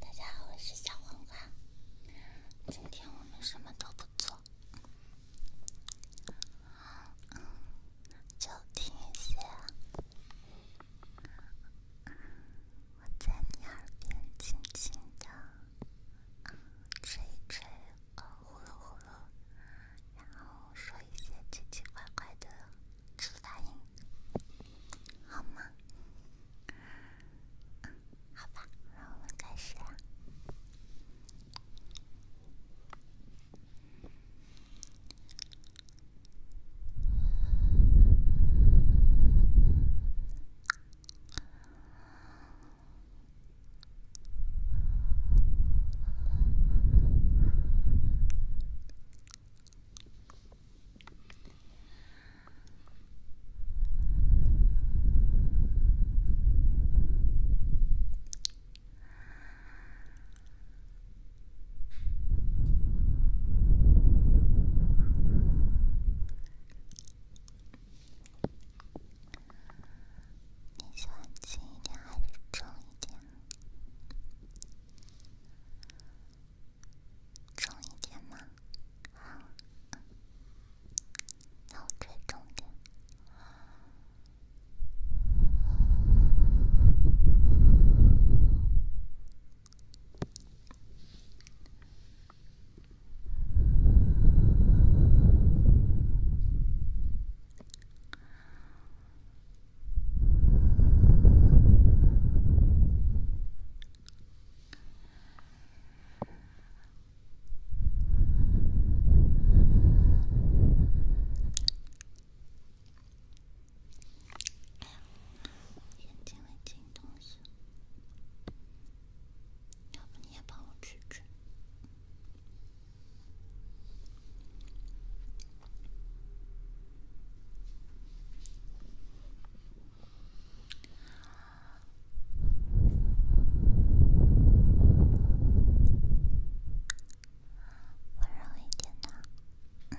大家好，我是小黄瓜。今天我们什么都不做，就听一些，我在你耳边轻轻的吹一吹，哦，呼噜呼噜，然后说一些奇奇怪怪的。我答应，好吗？啊，好吧，那我们开始啊。你喜欢轻一点还是重一点？重一点吗？好，那我再重点。眼睛里进东西，要不你也帮我取取？温柔一点的，嗯。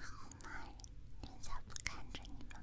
好嘛，人家不看着你吗？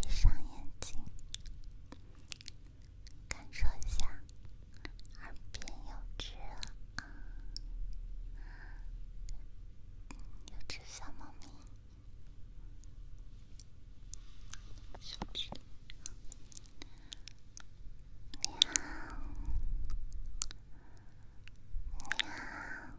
闭上眼睛，感受一下，耳边有只啊，有只小猫咪，小只，喵，喵，喵。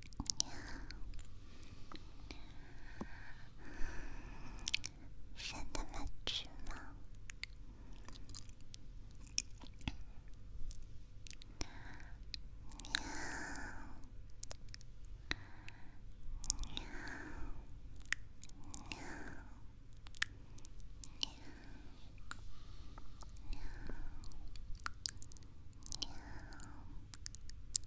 喵，让他们吃吗？喵，喵，喵，喵，喵，喵。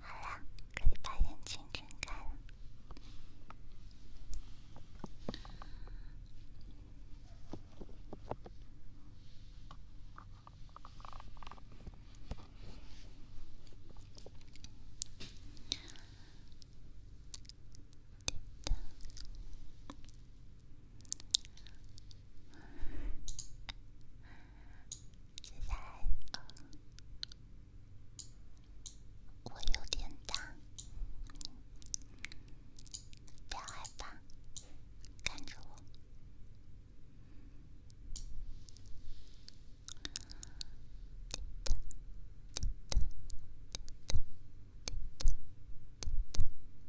好啦，可以把眼睛睁开。现在，我有点大，不要害怕，看着我。哒哒哒哒哒哒哒哒。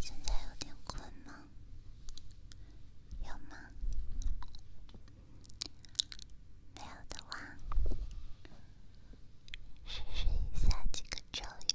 现在有点困吗？有吗？没有的话，试试以下几个咒语：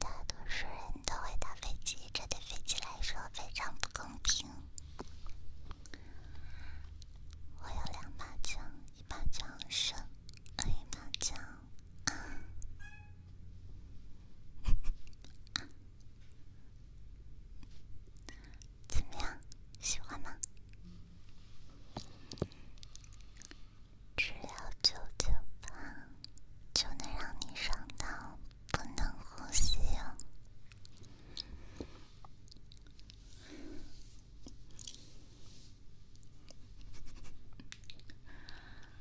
大多数人都会打飞机，这对飞机来说非常不公平。我有两把枪，一把枪深，另一把枪。啊！怎么样？喜欢吗？只要九九八，就能让你上当，不能呼吸。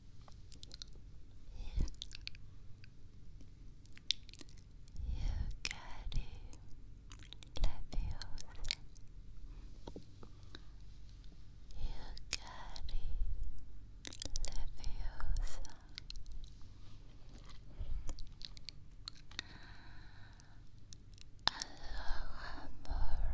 you, you carry Leviosa. You carry Leviosa. Aloha Mora. Aloha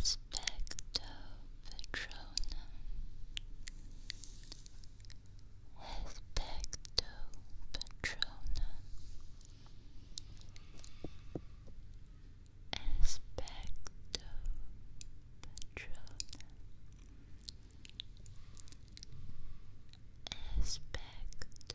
Aspecto Patronum Aspecto Patronum Aspecto Patronum Aspecto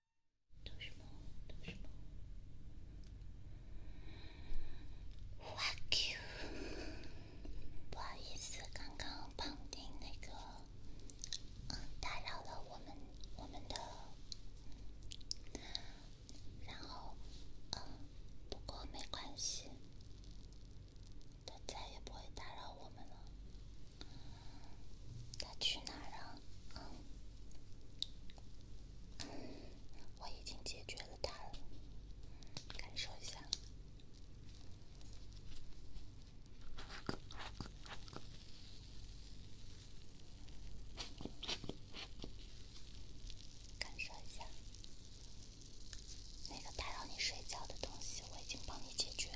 托住，托住。哇 Q，不好意思，刚刚胖丁那个，嗯，打扰了我们，我们的。然后，嗯，不过没关系，他再也不会打扰我们了。他去哪儿了？嗯，我已经解决了它了，感受一下，感受一下，那个打扰你睡觉的东西，我已经帮你解决了。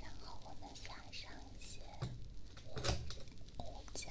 然后我们撒上一些胡胡椒。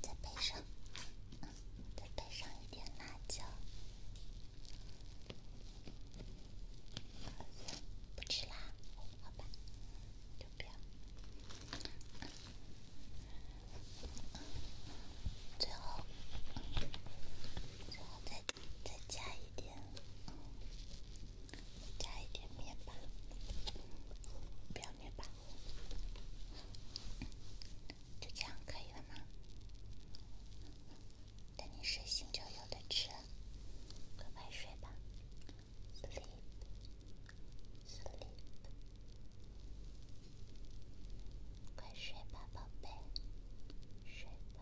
再配上，嗯，再配上一点辣椒，不吃辣，好吧，就不要。最后，最后再再加一点。加一点面包，不要面包，就这样可以了吗？等你睡醒就有的吃，快快睡吧，sleep sleep，快睡吧，宝贝，睡吧。